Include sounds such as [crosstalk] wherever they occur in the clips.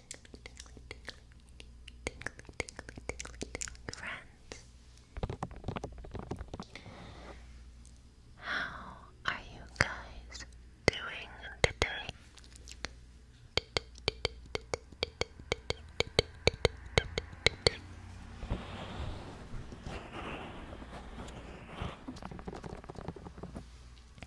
tingly, friends. How are you guys doing today?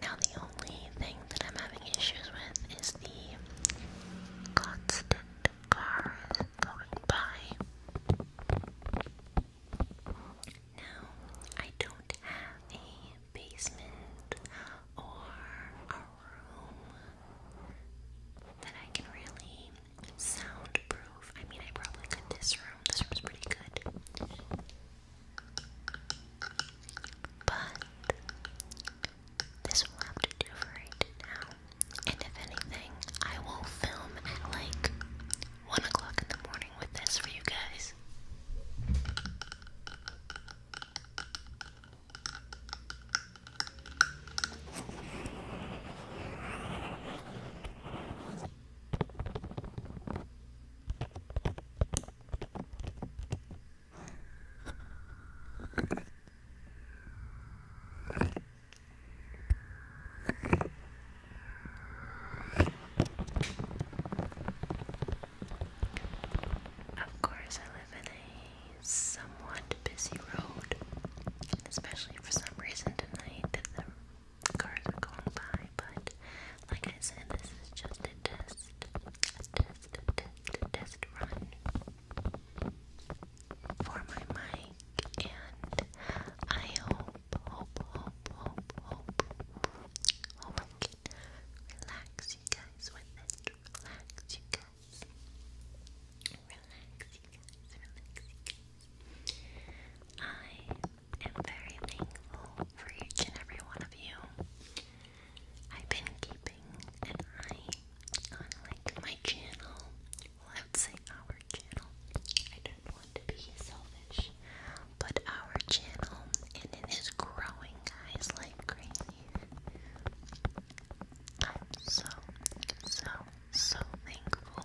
Now, the only thing that I'm having issues with is the constant cars going by. Now, I don't have a basement or a room that I can really soundproof. I mean, I probably could this room. This room's pretty good. But this will have to do for right now. And if anything, I will film at like 1 o'clock in the morning with this for you guys. Of course, I live in a somewhat busy road, especially for some reason tonight cars are going by, but like I said, this is just a test, a test, a test, a test run for my mic, and I hope, hope, hope, hope, hope, hope I can relax you guys relax you guys, relax I am very thankful for each and every one of you. I've been keeping an eye on like my channel. I would say our channel. I don't want to be selfish, but our channel and it is growing, guys, like crazy. I'm so, so, so thankful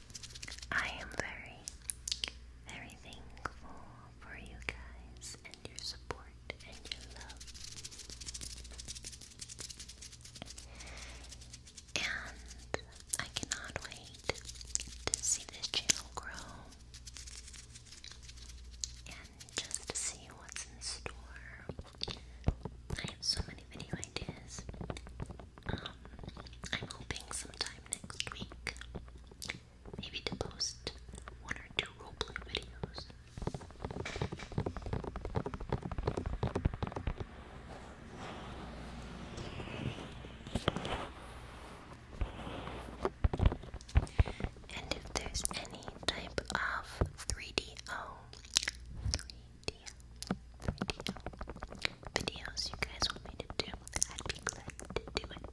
I am very, very thankful for you guys and your support and your love. And I cannot wait to see this channel grow and just to see what's in store. I have so many video ideas I'm hoping sometime next week, maybe to post one or two roleplay videos. And if there's any type of 3DO, 3 do oh, video, videos you guys want me to do, I'd be glad to do it.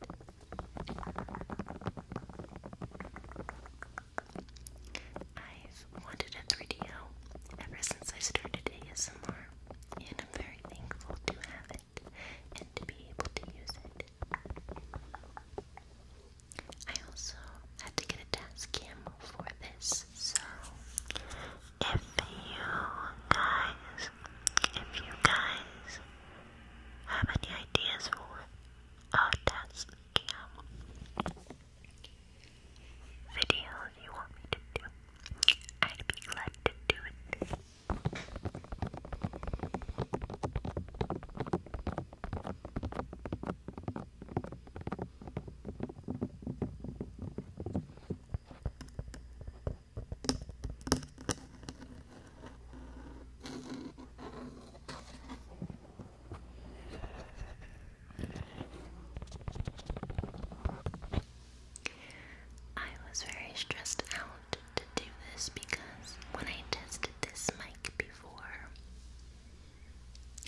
I've wanted a 3DO ever since I started ASMR, and I'm very thankful to have it and to be able to use it. I also had to get a dash cam for this so if you guys, if you guys have any ideas for a desk cam video you want me to do, I'd be glad to do it. I was very stressed out to do this because when I tested this mic before,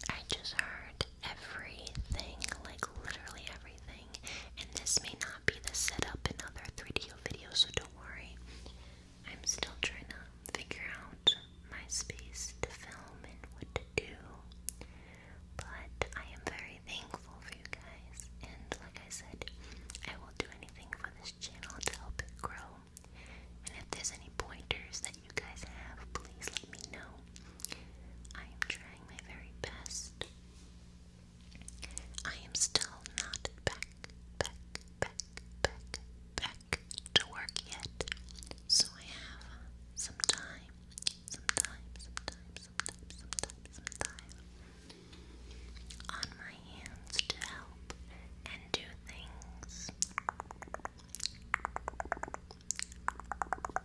I just heard everything, like literally everything. And this may not be the setup in other 3 d videos, so don't worry. I'm still trying to figure out my space to film and what to do. But I am very thankful for you guys. And like I said, I will do anything for this channel to help it grow. And if there's any pointers that you guys have, please let me know. I am trying my very best. I am still not back, back, back, back, back to work yet. So I have some time, some time, some time, some time, some time, some time on my hands to help and do things.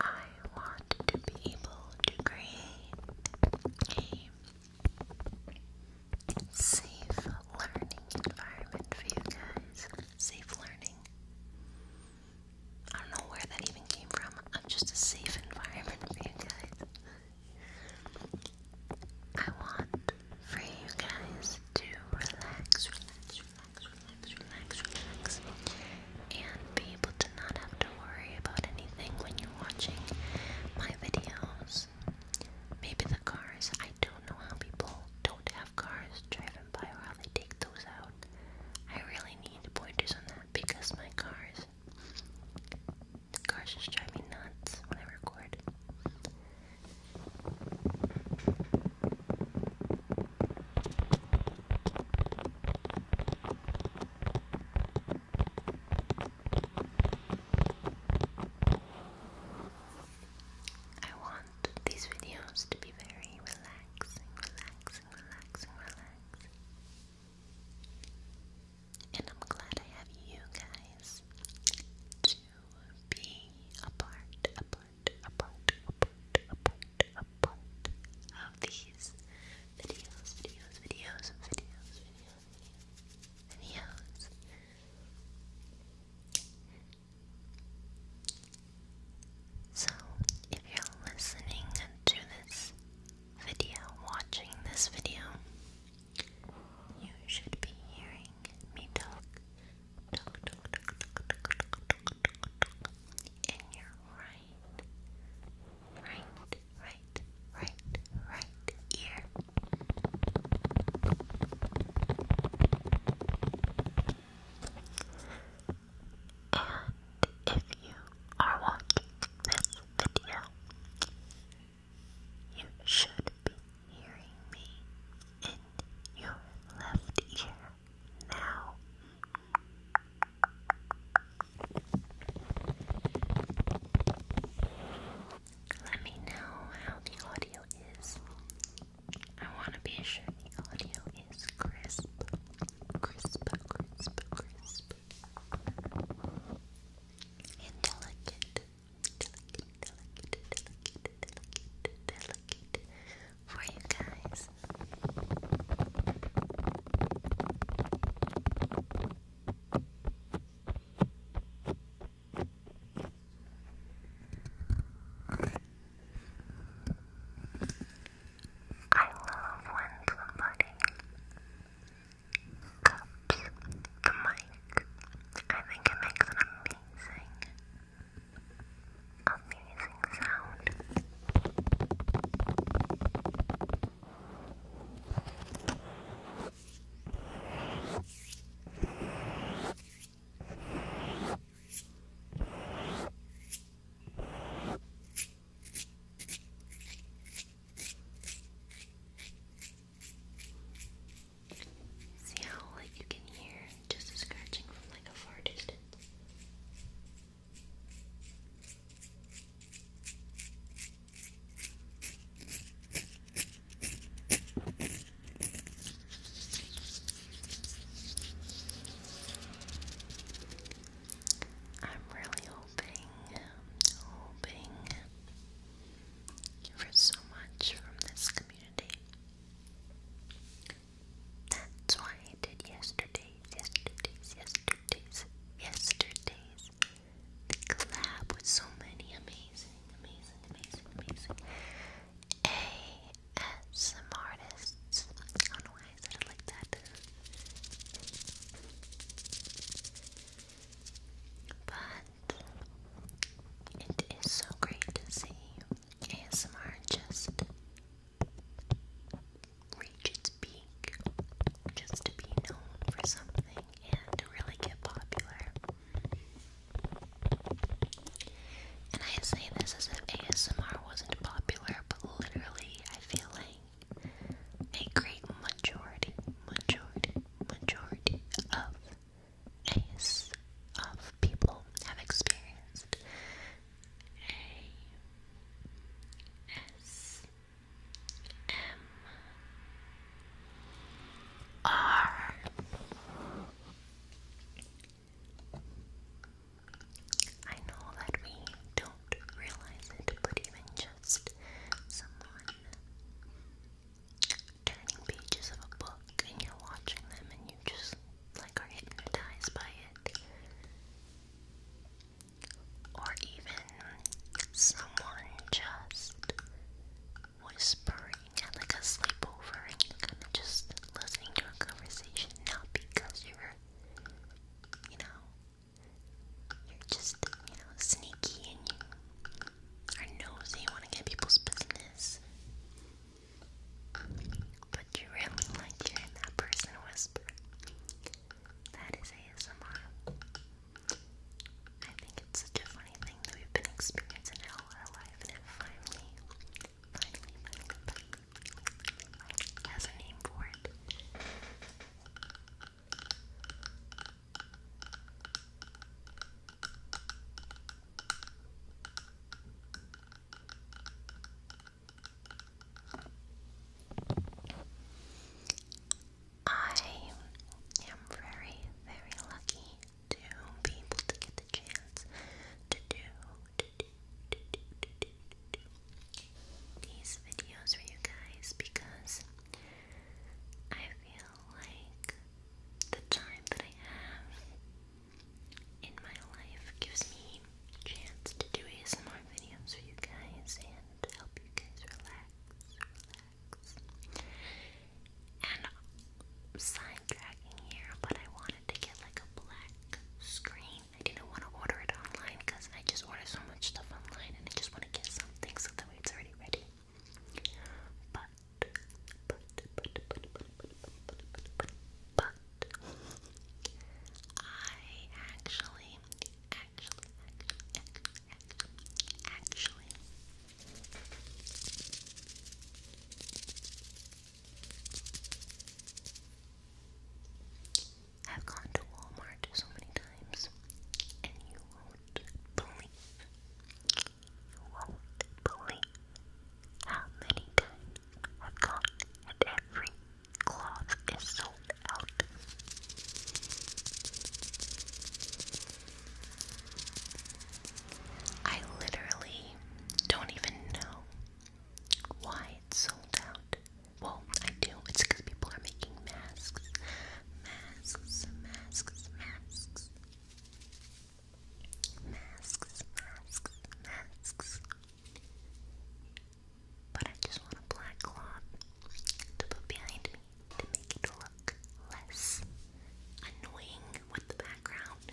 I want to be able to create a safe learning environment for you guys. Safe learning. I don't know where that even came from. I'm just a safe environment for you guys. I want for you guys to relax, relax, and be able to not have to worry about anything when you're watching my videos. Maybe the cars, I don't know how people don't have cars driving by or how they take those out. I really need pointers on that because my cars, the cars just drive me nuts when I record. I want these videos to be very relaxing, relaxing, relaxing, relaxing. And I'm glad I have you guys be a part, a part, a part, a part, a part, a part of these videos, videos, videos, videos, videos. So, if you're listening to this video, watching this video, you should be hearing me talk and your right, right, right, right, right ear. And if you are watching this video, you should be hearing me in your left ear now. Let me know how the audio is. I want to be sure the audio is crisp, crisp, crisp, crisp, and delicate, delicate, for you guys. I love when somebody cups the mic. I think it makes an amazing amazing sound. See how like you can hear just a from like a far distance. I'm really hoping, hoping for so much from this community. That's why I did yesterday's, yesterday's, yesterday's, yesterday's. The collab with so many amazing, amazing, amazing, amazing ASM artists. I don't know why I said it like that. But it is so great to see ASMR just reach its peak, just to be known for something and to really get popular. And I say this as if ASMR wasn't popular, but literally, I feel like a great majority, majority, majority of Ace of people have experienced A S M R I know that we don't realize it, but even just someone turning pages of a book and you're watching them and you just like are hypnotized by it. Or even someone just whispering at like a sleepover and you're kind of just listening to a conversation, not because you're, you know, you're just, you know, sneaky and you are nosy and want to get people's business. But you really like hearing that person whisper. That is ASMR. I think it's such a funny thing that we've been experiencing it all life and finally, finally, finally, finally has a name for it. I am very, very lucky to be able to get the chance to do, these videos for you guys because I feel like the time that I have in my life gives me chance to do ASMR videos for you guys and help you guys relax, relax. And I'm here, but I wanted to get like a black screen. I didn't want to order it online because I just ordered so much stuff online and I just want to get something so that way it's already ready. But, but, but, but, but, but, but, but, but, but, I actually, actually, actually, actually, have gone to Walmart so many times, and you won't believe you won't believe how many I've gone and every cloth is sold out. I literally don't even know why it's sold out. Well, I do. It's because people are making masks, masks, masks, masks. Masks, masks, masks. But I just want a black cloth to put behind me to make it look less annoying with the background.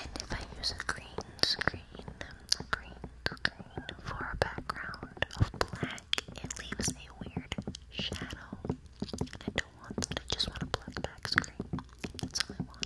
And if I use a green screen, um, green, green green for a background of black, it leaves a weird shadow. I don't want that, I just want a black back That's all I want. That's all I want.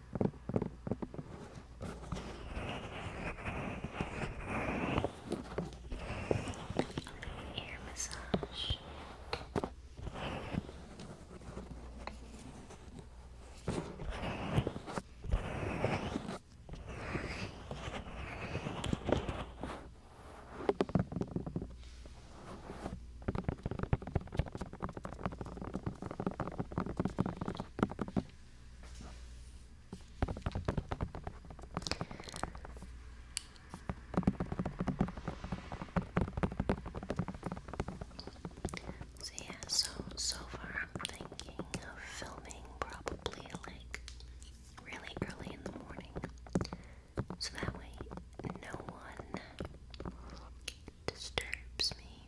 Ear massage. Ear so yeah, so so far I'm thinking of filming probably like really early in the morning. So that way no one disturbs me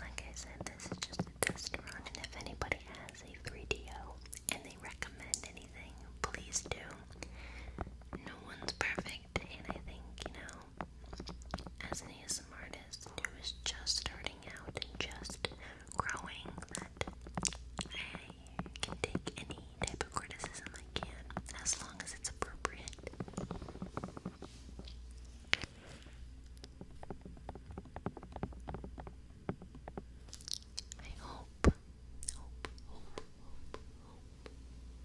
Like I said, this is just a test run, and if anybody has a 3DO and they recommend anything, please do. No one's perfect, and I think, you know, as an ASMR artist who is just starting out and just growing that I can take any type of criticism I can as long as it's appropriate. I hope, hope, hope, hope, hope,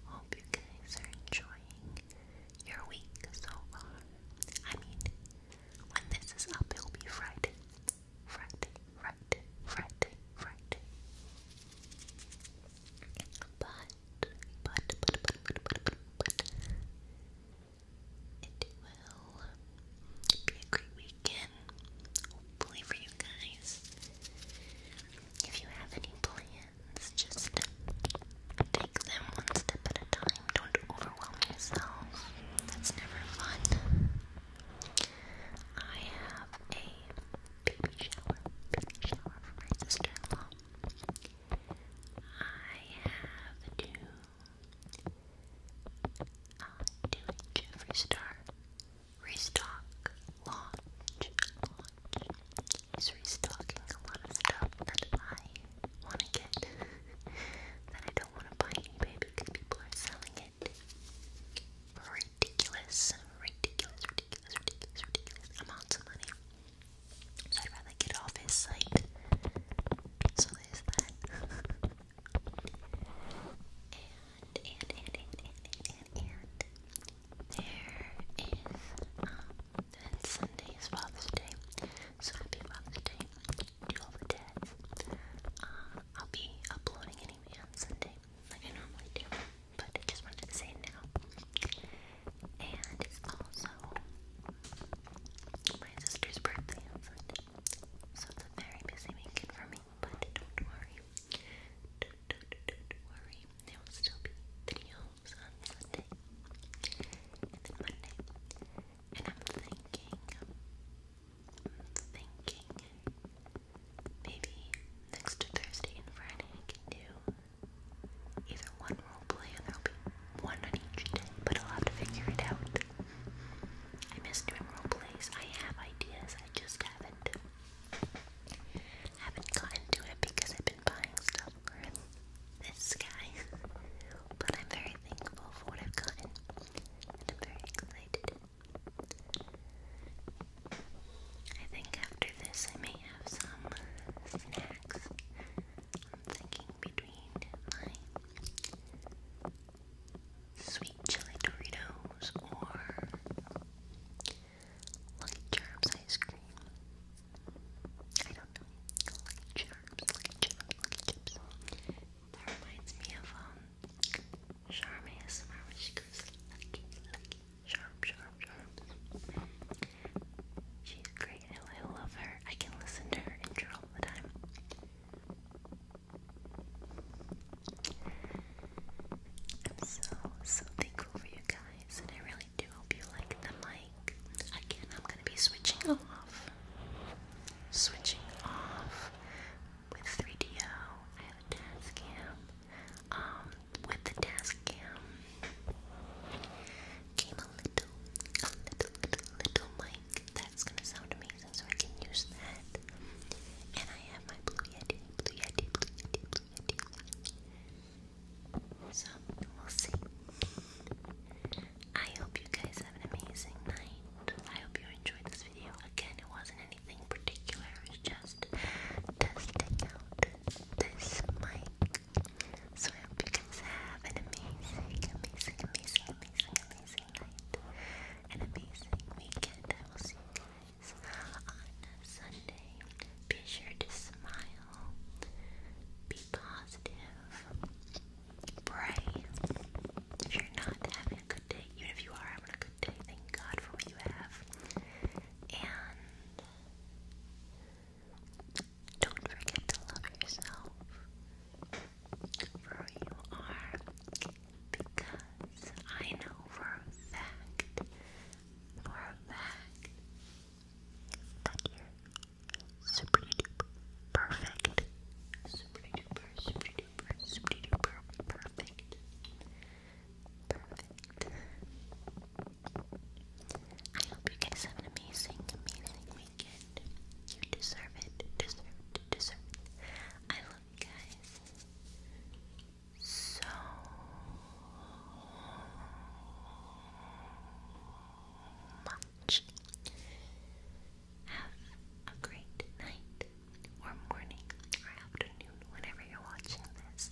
hope you guys are enjoying your week so far. I mean, when this is up, it will be Friday. Friday, Friday, Friday, Friday. But, but, but, but, but, but, but, but it will be a great weekend, hopefully for you guys. If you have any plans, just take them one step at a time. Don't overwhelm yourself. That's never fun. I have a baby shower, baby shower for my sister I have to uh, do a Star restock launch. launch. He's restocking a lot of stuff that I want to get that I don't want to buy eBay because people are selling it for ridiculous, ridiculous, ridiculous, ridiculous, ridiculous amounts of money. So I'd rather get off his site. So there's that. [laughs] and, and, and, and, and, and, and, there is, um, and Sunday is Father's Day. So happy about the day. Do all the dads. Uh, I'll be uploading anyway on Sunday, like I normally do. But I just wanted to say now. And it's also my sister's birthday on Sunday. So it's a very busy weekend for me, but don't worry. Don't, worry. There will still be videos videos on Sunday and then Monday. And I'm thinking, thinking maybe next Thursday and Friday I can do either one role play and there'll be one on each day, but I'll have to figure it out. I miss doing role plays. I have ideas, I just haven't haven't gotten to it because I've been buying stuff this guy, but I'm very thankful for what I've gotten, I'm very excited. I think after this, I may have some snacks. I'm thinking between my sweet chili Doritos or Lucky Charms ice cream. I don't know. That reminds me of um, Charm She's great. I love her. I can listen to her intro all the time. I'm so, so thankful for you guys, and I really really do hope you like the mic. Again, I'm going to be switching off. Switching off with 3DO. have a task cam. Um, with the task cam came a little, little, little mic that's going to sound amazing, so I can use that. And I have my Blue Yeti, Blue Yeti, Blue Yeti, Blue Yeti. So we'll see. I hope you guys have an amazing night. I hope you enjoyed this video. Again, it wasn't anything particular, it just testing out this mic. So I hope you guys have an amazing, amazing, amazing, amazing, amazing night. An amazing weekend. I will see you guys on Sunday. Be sure to smile, be positive, pray. you're not having a good day, even if you are having a good day, thank God for what you have. And don't forget to love yourself for who you are because I know for a fact, for a fact, super duper perfect. Super duper, super duper, super duper perfect. Perfect. I hope you guys have an amazing, amazing weekend. You deserve it, deserve deserve I love you guys so much. Have a great night, or morning, or afternoon, whenever you're watching this.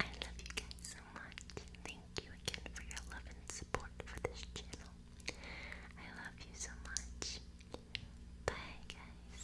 I love you guys so much. Thank you again for your love and support for this channel. I love you so much. Bye, guys.